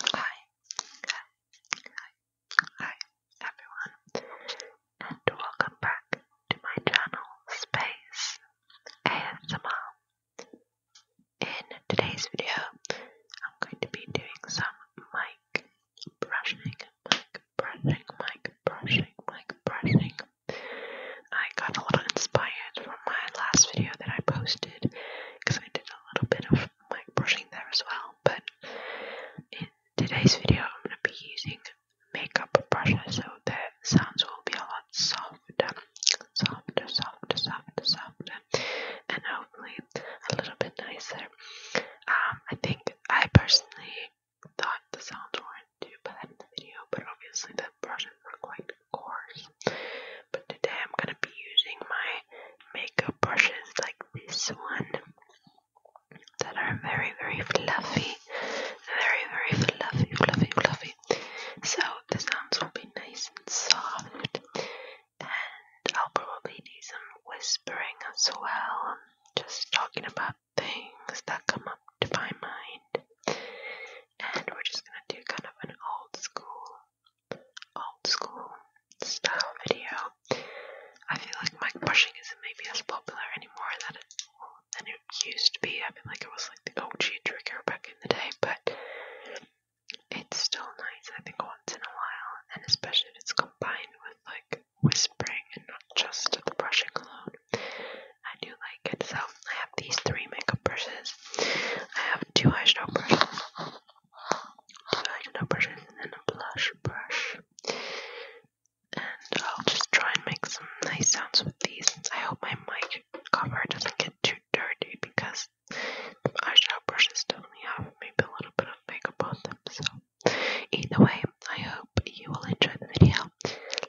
Hi, hi, hi, everyone, and welcome back to my channel Space ASMR. In today's video, I'm going to be doing some mic brushing, mic brushing, mic brushing, mic brushing. I got a little inspired from my last video that I posted because I did a little bit of mic brushing there as well. But in today's video, I'm going to be using makeup brushes so the sounds will be a lot softer, softer, softer, softer, and hopefully a little bit nicer. Um, I think I personally thought the sounds weren't too bad in the video, but obviously the brushes were quite course. But today I'm going to be using my makeup brushes like this one that are very, very fluffy. Very, very fluffy, fluffy, fluffy. So the sounds will be nice and soft. And I'll probably do some whispering as well. Just talking about things that come up to my mind and we're just gonna do kind of an old school, old school style video. I feel like mic brushing isn't maybe as popular anymore than it, than it used to be. I feel like it was like the OG trigger back in the day, but it's still nice, I think, once in a while, and especially if it's combined with like whispering and not just the brushing alone. I do like it. So I have these three makeup brushes. I have two eyeshadow brushes, two eyeshadow brushes, and then a blush brush. And I'll just try and make some nice sounds with these. I hope my mic cover doesn't get too dirty because the eyeshadow brushes definitely have maybe a little bit of makeup on them. So either way, I hope you will enjoy the video.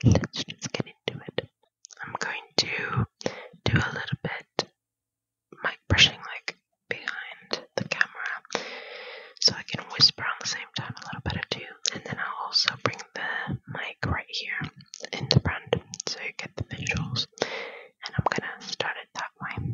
Let's just get into it. I'm going to do a little bit mic brushing like behind the camera so I can whisper on the same time a little bit too and then I'll also bring the mic right here in the front so you get the visuals and I'm gonna start it that way.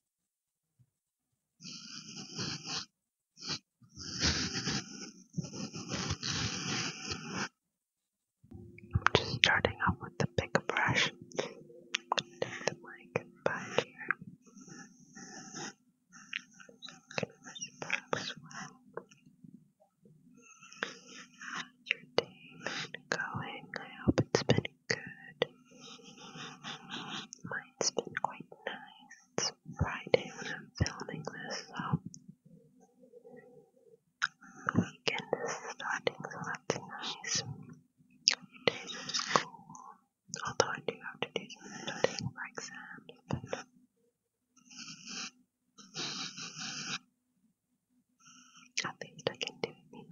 I'm Just starting off with the big brush. Take the mic back here. So your day going? I hope it's good. Mine's been quite nice. It's Friday when I'm filming this, so the weekend is starting, so that's nice. Days of school, although I do have to do some studying for exams, but I think I can do it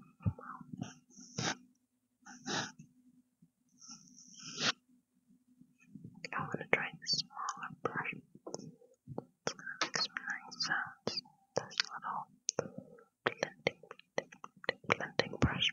I'm gonna try the smaller brush. It's gonna make some nice sounds. This little blending, blending brush.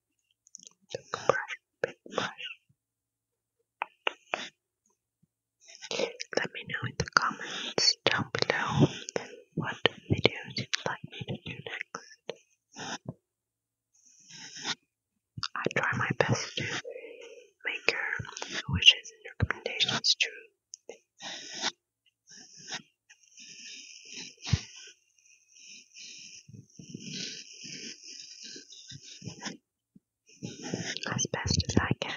Big brush, big brush. Let me know in the comments down below what videos you'd like me to do next. I try my best to make your wishes and recommendations true as best as I can.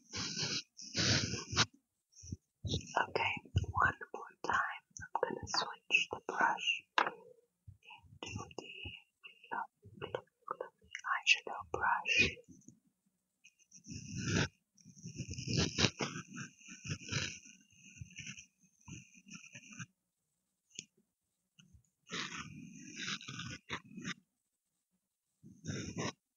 Okay, one more time. I'm gonna switch the brush into the eyeshadow brush.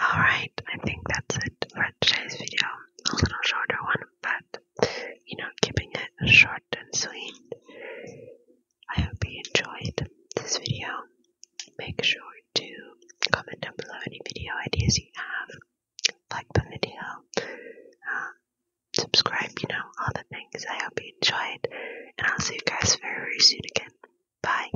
Alright, I think that's it for today's video. A little shorter one, but you know, keeping it short and sweet. I hope you enjoyed this video. Make sure to comment down below any video ideas you have, like the video, um, subscribe, you know, all the things. I hope you enjoyed, and I'll see you guys very, very soon again. Bye.